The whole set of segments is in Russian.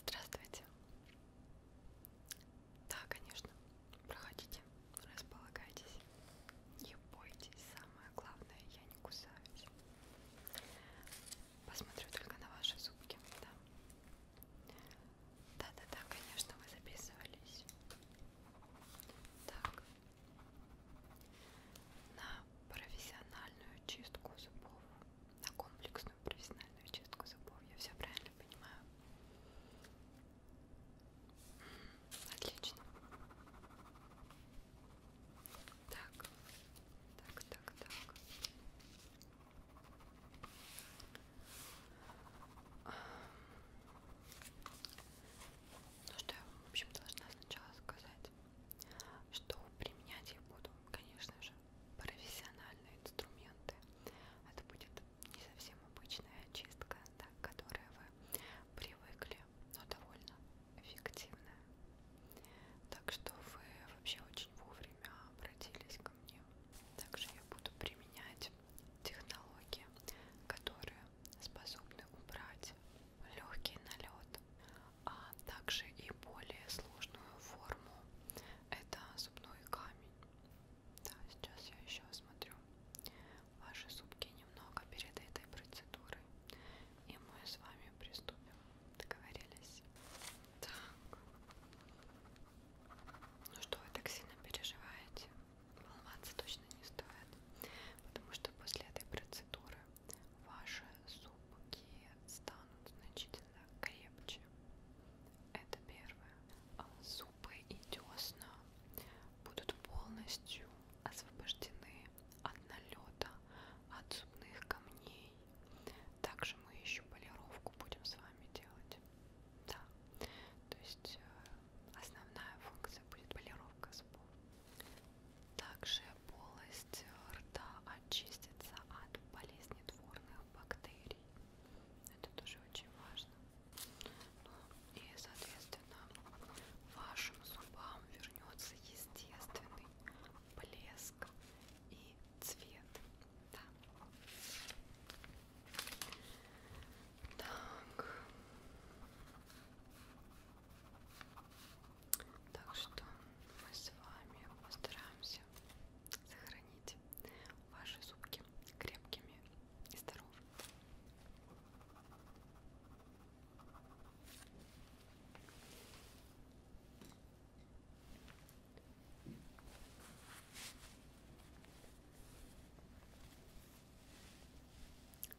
Здравствуйте. Да, конечно. Проходите, располагайтесь. Не бойтесь. Самое главное, я не кусаюсь. Посмотрю только на ваши зубки, да? Да-да-да, конечно, мы записывались. Так. На профессиональную чистку зубов, на комплекс обычную профессиональную чистку зубов. Я все правильно понимаю. Отлично. Так, так, так, так. Ну что я, в общем, должна сначала сказать, что применять я буду, конечно же, профессиональные инструменты. Это будет не совсем обычная очистка, да, к которой вы привыкли, но довольно эффективная. Так что вы вообще очень вовремя обратились ко мне. Также я буду применять технологии, которые способны убрать легкий налет, а также и более сложную форму. Это зубной камень. Да, сейчас я еще осмотрю ваши зубки немного перед этой процедурой. И мы с вами приступим. Договорились? Так. Ну что вы так сильно переживаете? Волноваться точно не стоит. Потому что после этой процедуры ваши зубки станут значительно крепче. Это первое. А зубы и десна будут полностью освобождены от налета, от зубных камней. Также мы еще полировку будем с вами делать. Да. То есть э, основная функция будет полировка зубов. Также полость полость рта очистится от болезнетворных бактерий. Это тоже очень важно. Ну, и, соответственно, вашим зубам вернется естественный блеск и цвет. Да. Так. Так что мы с вами постараемся сохранить ваши зубки крепкими и здоровыми.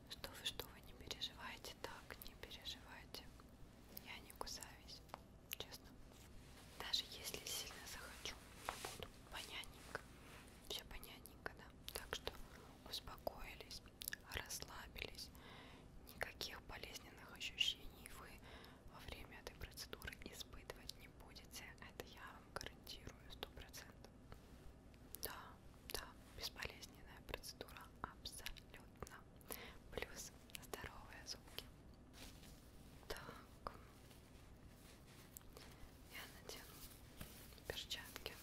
Что вы, что вы, не переживайте так, не переживайте. Я не кусаюсь честно. Даже если сильно захочу, буду понятненько. Все понятненько, да. Так что успокоились, расслабились. Никаких болезненных ощущений вы во время этой процедуры испытывать не будете. Это я вам гарантирую сто процентов. Да, да, безболезненная процедура абсолютно дна. Плюс здоровые зубки. Так. Я надену перчатки.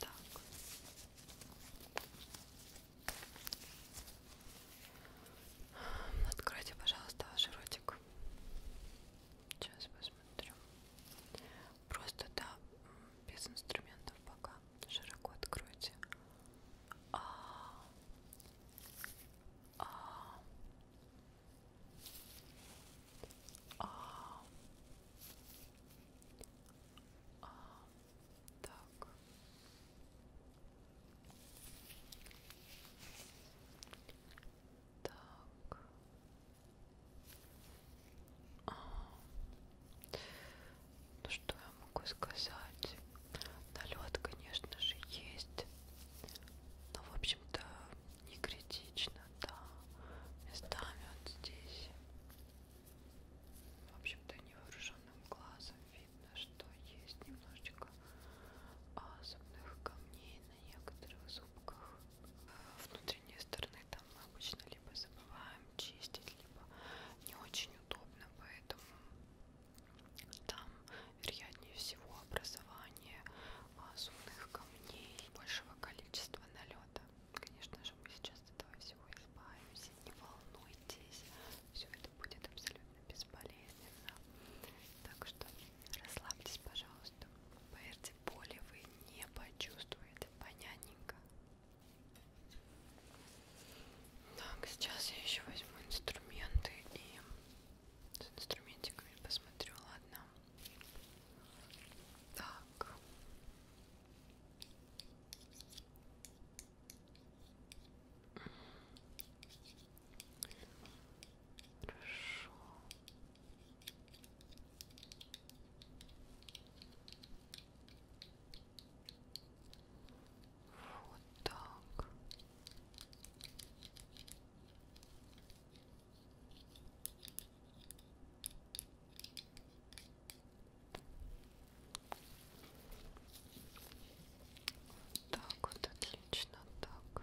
Так. Откройте, пожалуйста, ваш ротик. Сейчас посмотрим смотрю. Просто да, без инструментов пока. Широко откройте. А, а, а, а, так. Так. Ну что я могу сказать? Налет, конечно же, есть. Но, в общем-то, не критично, да. Местами вот здесь. В общем-то, невооруженным глазом видно, что есть немножечко а, зубных камней на некоторых зубках внутренней стороны там мы обычно либо забываем чистить, либо не очень удобно, поэтому там вероятнее всего образование а, зубных камней большего количества налета. Конечно же, мы сейчас от этого всего избавимся, не волнуйтесь, все это будет абсолютно безболезненно. Так что Расслабьтесь, пожалуйста. Поверьте, боли вы не почувствуете. Понятненько. Так, сейчас я еще возьму инструменты и с инструментиками посмотрю, ладно. Так. Хорошо. Вот так. Так вот, отлично, так.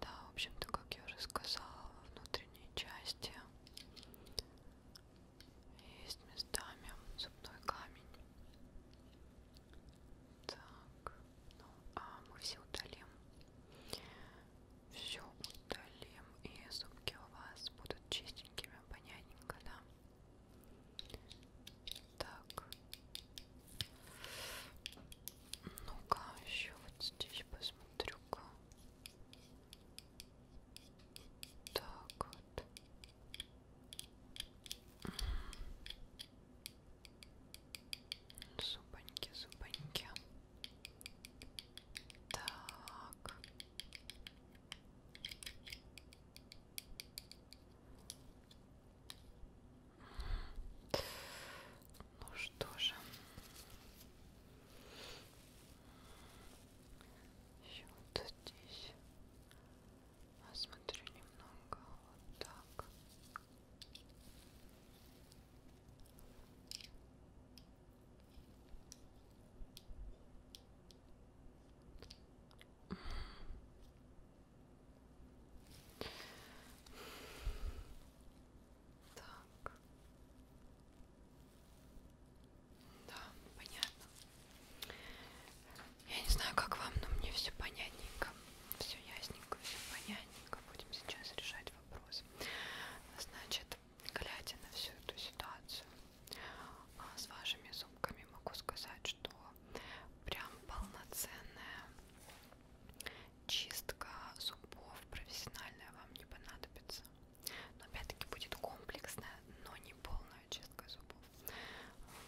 Да, в общем-то, как я уже сказала, во внутренней части есть местами зубной камень. Так, ну а мы все удалим. Все удалим, и зубки у вас будут чистенькими, понятненько, да? Так, ну-ка, еще вот здесь посмотрю-ка. Так вот. Зубаньки, зубаньки. Так. Ну что же. Еще вот здесь. Посмотрю а немного вот так. Так. Да, понятно. Я не знаю, как вам, но мне все понятненько. Все ясненько, все понятненько. Будем сейчас решать вопрос. Значит, глядя на всю эту ситуацию, а, с вашими зубками могу сказать, что прям полноценная чистка зубов профессиональная вам не понадобится. Но опять-таки будет комплексная, но не полная чистка зубов.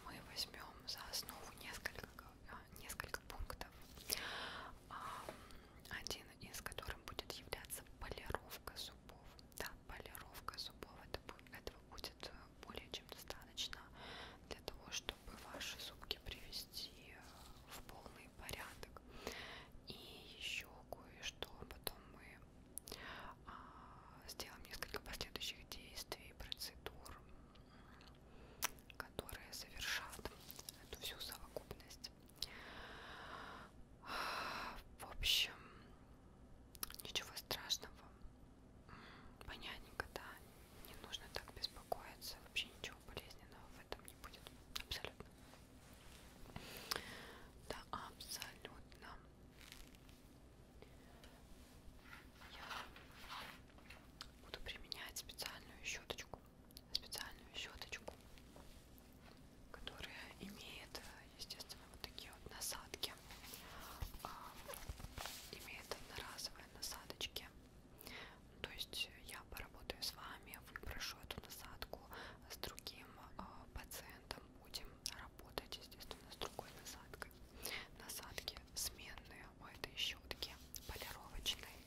Мы возьмем за основу несколько, а, несколько пунктов, один из которых будет являться полировка зубов. Да, полировка зубов это, этого будет э, более чем достаточно для того, чтобы ваши зубки привести привести э, в полный порядок. И еще кое-что потом мы а, сделаем несколько последующих действий, процедур, которые совершат эту всю совокупность. В общем, ничего страшного понятненько, да, не нужно так беспокоиться, вообще ничего болезненного в этом не будет, абсолютно, да, абсолютно. Я буду применять специальную щеточку, специальную щеточку, которая имеет, естественно, вот такие вот насадки, а, имеет одноразовые насадочки то есть я поработаю с вами, выпрошу эту насадку с другим э, пациентом, будем работать, естественно, с другой насадкой. Насадки сменные у этой щетки, полировочной.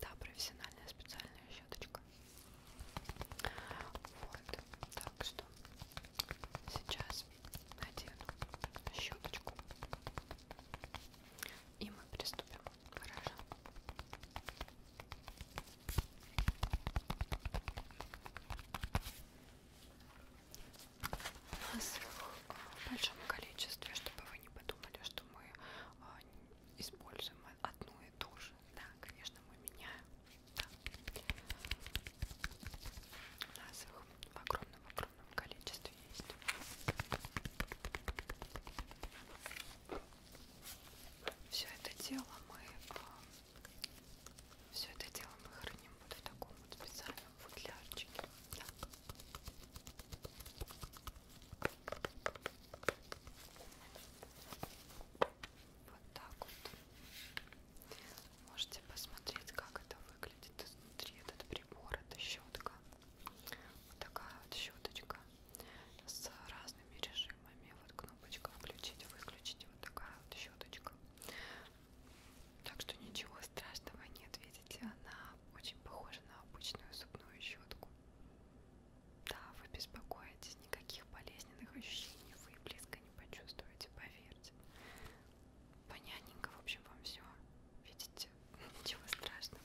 Да, профессиональная специальная щеточка. Вот, так что сейчас надену щеточку и мы приступим к выражению. У нас в большом количестве, чтобы вы не подумали, что мы а, используем одну и ту же. Да, конечно, мы меняем. Да. У нас их огромном-огромном огромном количестве есть. Все это дело мы а, все это дело мы храним вот в таком вот специальном футлярчике. Так. Вот так вот. Можете посмотреть, как это выглядит выглядит изнутри этот прибор, это щетка, вот такая вот щеточка с разными режимами, вот кнопочка включить, выключить, вот такая вот щеточка. Так что ничего страшного нет, видите, она очень похожа на обычную зубную щетку. Да, вы беспокоитесь, никаких болезненных ощущений вы близко не почувствуете, поверьте понятненько, в общем, вам все. Видите, ничего страшного.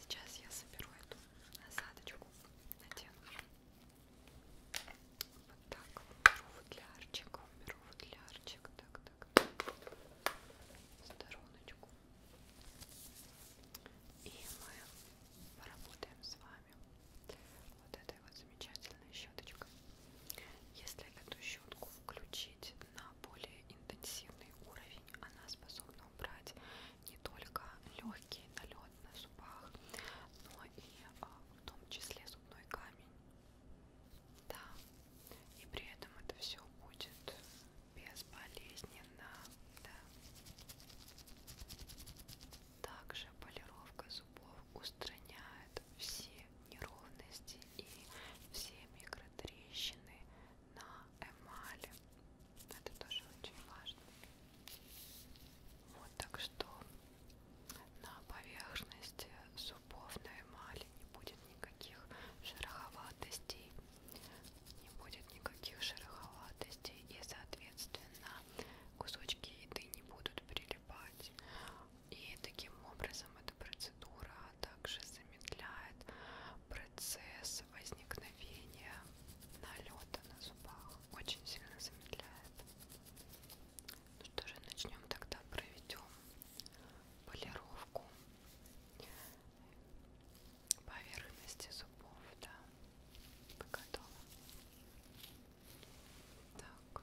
Сейчас я соберу эту насадочку, надену. Вот так, беру футлярчик, беру футлярчик, так, так, стороночку. И мы поработаем с вами. Вот этой вот замечательной щеточкой. Если эту щетку включить на более интенсивный уровень, она способна убрать не только легкий налет на зубах, но и а, в том числе зубной камень. Да, и при этом это все будет безболезненно. Да. Также полировка зуб зубов устраняет все неровности и все микротрещины на эмали. Это тоже очень важно. Вот так что на поверхности зубов на эмали не будет никаких шероховатостей. Не будет никаких шероховатостей и соответственно кусочки еды не будут прилипать поскребать. И таким образом эта процедура также замедляет процесс возникновения налета на зубах. Очень сильно замедляет. Ну что же, начнем тогда, проведем полировку поверхности зубов, да. Вы готовы? Так.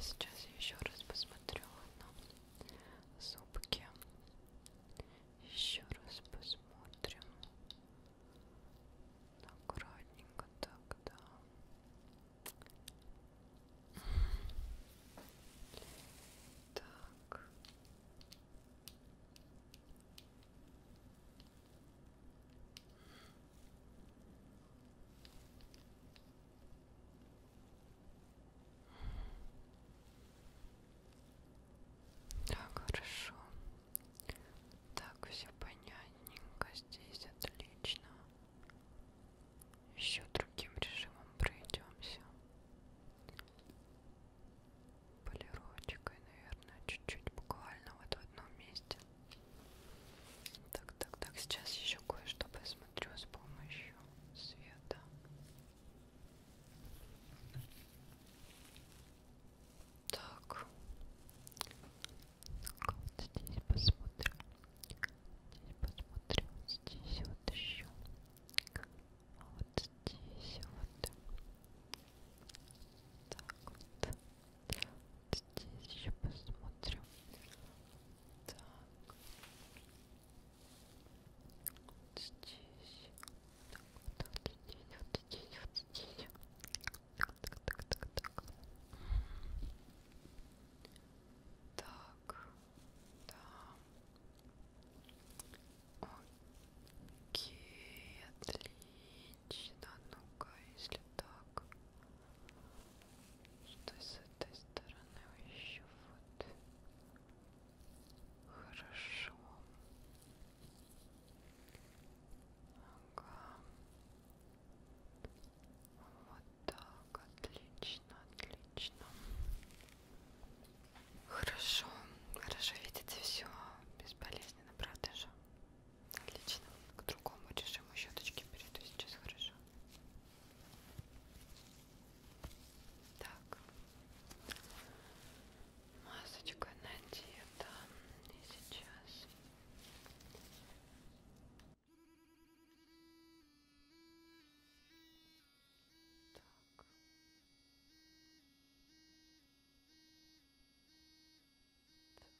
Сейчас я еще раз посмотрю на зубки. Еще раз посмотрим. Аккуратненько тогда. Так. Так, хорошо. Так, все понятненько здесь, отлично. Еще другим режимом пройдемся. Полировочкой, наверное, чуть-чуть буквально вот в одном месте. Так, так, так, сейчас еще кое-что посмотрю с помощью света. Так, так вот здесь посмотрим. Здесь посмотрим, здесь вот еще. А вот здесь вот. Так вот здесь еще посмотрим. Так. Вот здесь. Так, вот, вот здесь, вот здесь, вот здесь. Так, так, так, так, так. Так. Да. Окей, отлично. Ну-ка, если вроде так. Что с этой стороны еще вот хорошо. Ага. Вот так, отлично, отлично. Хорошо, хорошо видите все безболезненно, правда же? Отлично. К другому режиму щеточки перейду сейчас, хорошо? Так. Масочка надета. И сейчас... Так. Так.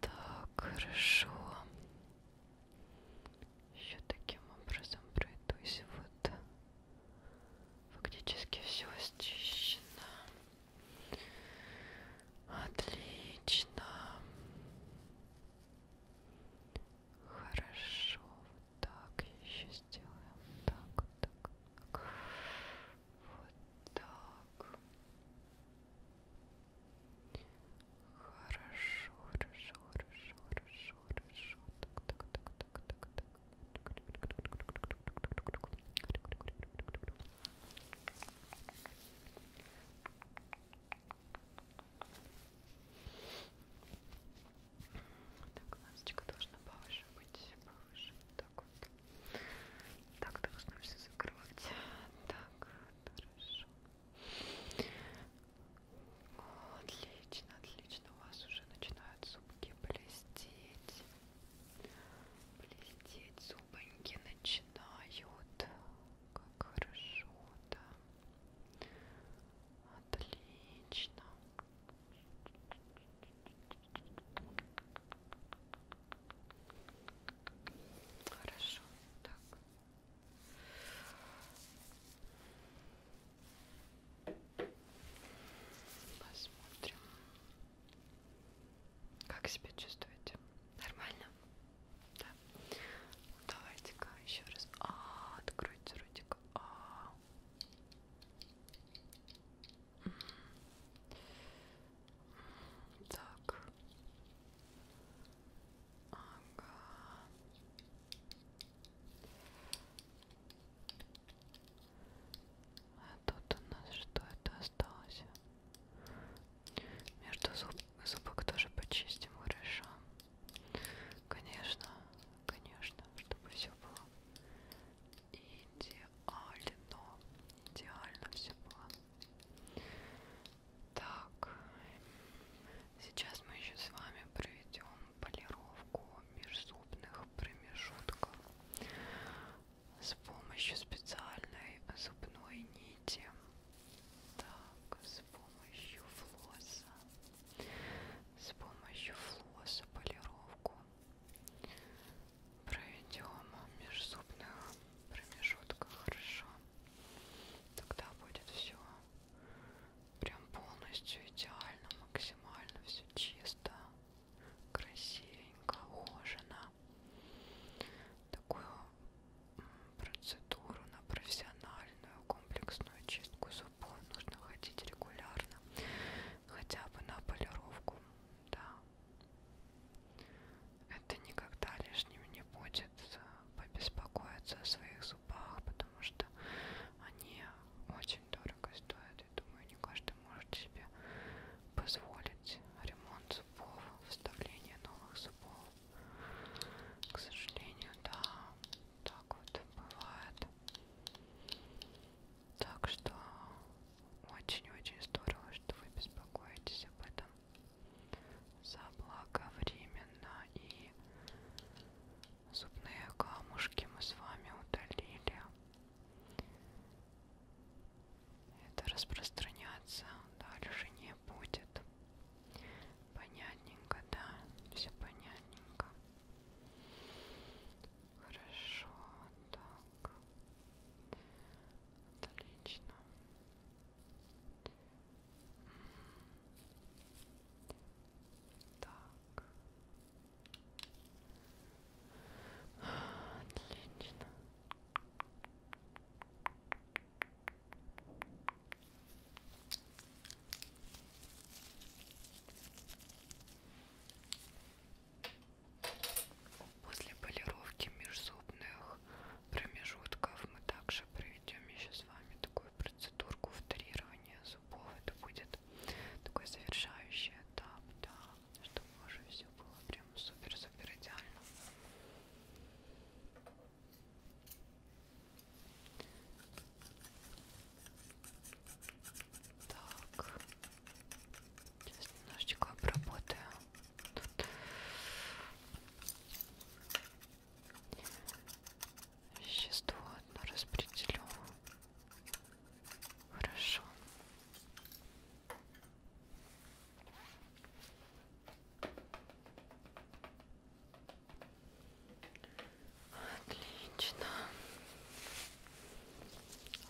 Так, хорошо. Еще таким образом пройдусь. Вот фактически все счищено. Отлично. Хорошо. Вот так еще сделаем. Так, вот так. Вот так. Хорошо, хорошо, хорошо, хорошо, хорошо. Так, так, так, так, так, так. Так, масочка должна повыше быть, повыше, вот так вот. Так, должно все закрывать. Так, хорошо. О, отлично, отлично. У вас уже начинают зубки блестеть. Блестеть зубоньки начинают. Как хорошо, да. Отлично. Хорошо, так. Посмотрим. Как себя чувствуете? Нормально? Да. Давайте-ка еще раз. А, откройте ротик. А. Так. Ага. А тут у нас что это осталось? Между зуб зубок тоже почистим, хорошо. Конечно, конечно, чтобы все было идеально. Алино. Идеально все было. Так. Сейчас мы еще с вами проведем полировку межзубных промежутков с помощью специальной зубной нити. Так, с помощью флосса. С помощью флосса полировку проведем в межзубных промежутках хорошо тогда будет все прям полностью идеально максимально все чисто красивенько ухожено такую процедуру на профессиональную комплексную чистку зубов нужно ходить регулярно хотя бы на полировку да это никогда лишним не будет э, побеспокоиться о своих зубах, потому что они очень дорого стоят. И думаю, не каждый может себе позволить ремонт зубов, вставление новых зубов. К сожалению, да, так вот бывает. Так что очень-очень здорово, что вы беспокоитесь об этом заблаговременно. И зубные камушки мы с вами удалили. Это распространяться дальше не будет. Понятненько, да? Все понятненько. Хорошо, так. Так. Отлично. Так. Отлично. Так. После полировки межзубных промежутков мы также проведем еще с вами такую процедурку вторирования зубов. Это будет такой завершающий этап, да, чтобы уже все было прям супер-супер идеально. Так. Сейчас немножечко обработаю. Тут. Вещество одно распределю. Хорошо. Отлично.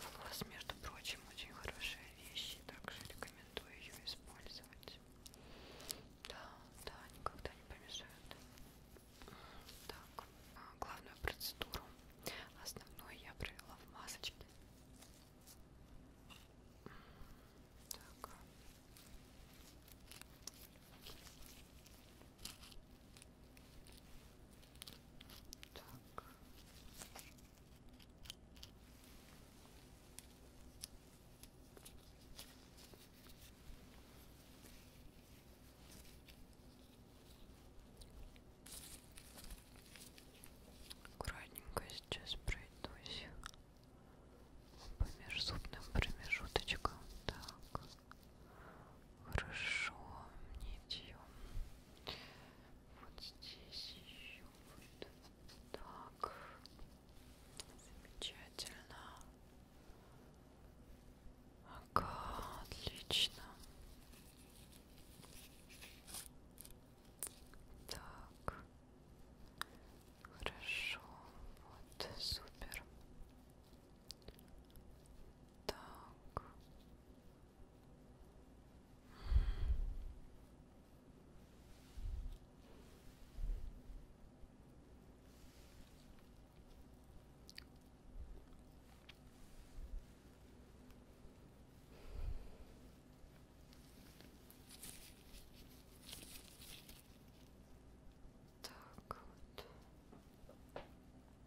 Волос, между прочим, очень хорошая вещь, и также рекомендую ее использовать. Да, да, никогда не помешают. Так, а, главную процедуру основную я провела в масочке. Так. Так. Аккуратненько сейчас пройдусь по межзубным промежуточкам. Так. Хорошо, нитью. Вот здесь еще вот так. Замечательно. Ага, отлично. Так. Хорошо. Вот, супер. Так. Так вот.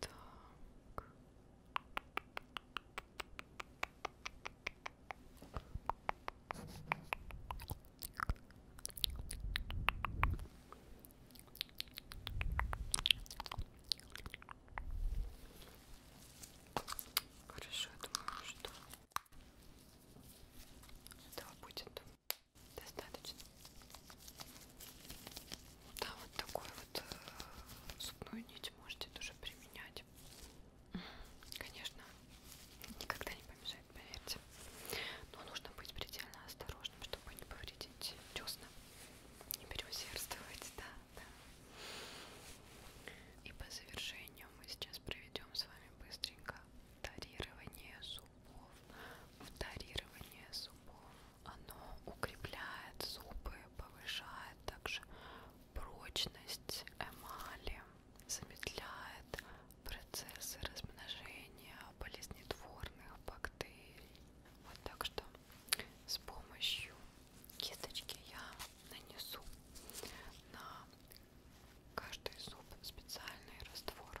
Так. Хорошо, я думаю, что этого будет достаточно. Да, вот такой вот э, зубную нить можете тоже применять. Конечно, никогда не помешает, поверьте. Но нужно быть предельно осторожным, чтобы не повредить десна. Не переусердствовать, да, да. И по завершению мы сейчас проведем с вами быстренько Тарирование зубов. Вторирование зубов. Оно укрепляет зубы, повышает также прочность эмали, замедляет процессы размножения болезнетворных бактерий. Вот так что с помощью кисточки я нанесу на каждый зуб специальный раствор.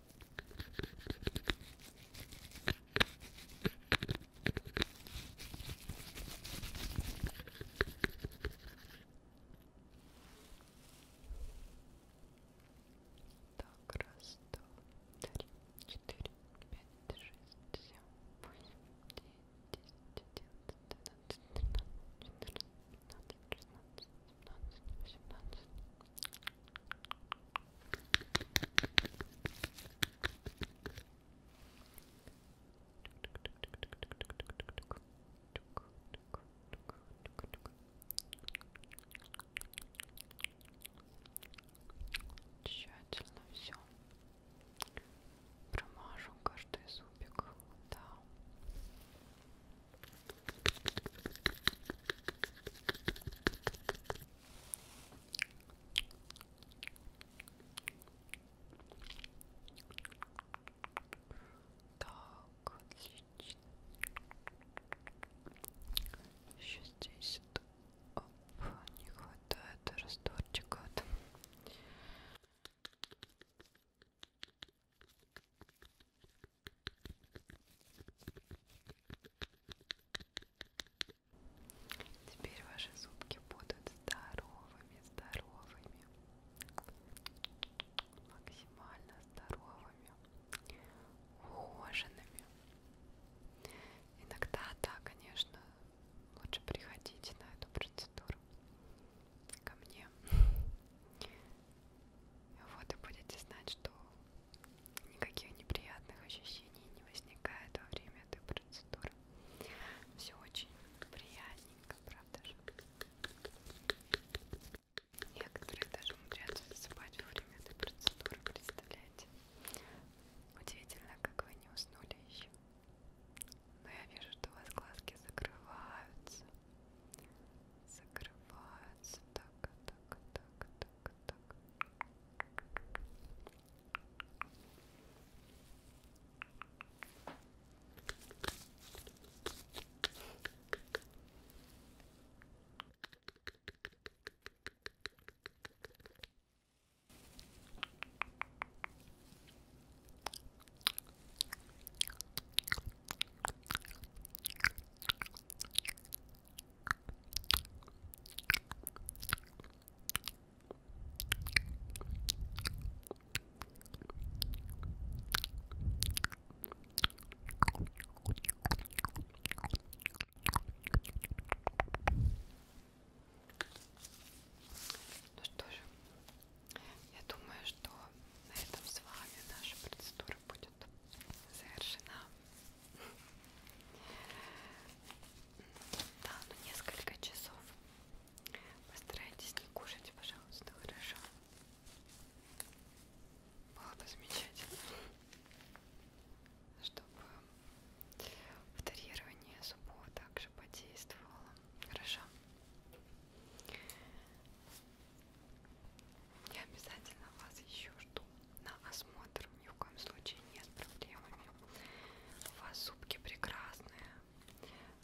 Так, раз, два, три, четыре, пять, шесть, семь, восемь, девять, десять, одиннадцать, двенадцать, тринадцать, четырнадцать, пятнадцать, шестнадцать, семнадцать, восемнадцать, Тщательно все промажу каждый зубик, да. Так, отлично. Еще здесь оп, не хватает растворчика. Вот. Теперь ваши зубки будут здоровыми, здоровыми, максимально здоровыми, ухоженными. Иногда, да, конечно, лучше приходите на эту процедуру ко мне. Вот и будете знать, что никаких неприятных ощущений не возникает во время этой процедуры. Все очень приятненько, правда же? Некоторые даже умудряются засыпать во время этой процедуры, представляете? Удивительно, как вы не уснули еще. Но я вижу, что у вас глазки закрываются закрываются так, так, так, так, так. Ну что же, я думаю, что на этом с вами наша процедура будет завершена. Да, ну несколько часов. Постарайтесь не кушать, пожалуйста, хорошо. Было бы замечательно, чтобы вторирование зубов также подействовало. Хорошо. Я обязательно вас еще жду на осмотр. Ни в коем случае не с проблемами. У вас зубки прекрасные.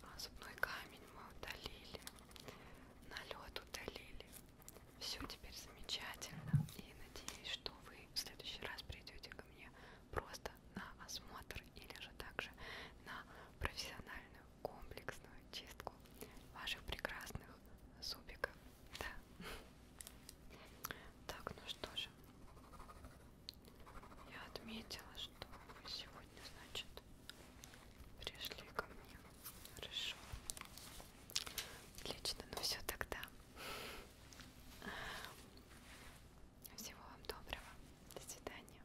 А, зубной камень мы удалили. Налет удалили. Все теперь замечательно. И надеюсь, что вы в следующий раз придете ко мне просто на осмотр или же также на профессиональную комплексную чистку ваших прекрасных зубиков. Да. Так, ну что же, я отметила, что вы сегодня, значит, пришли ко мне. Хорошо. Отлично, ну все тогда. Всего вам доброго. До свидания.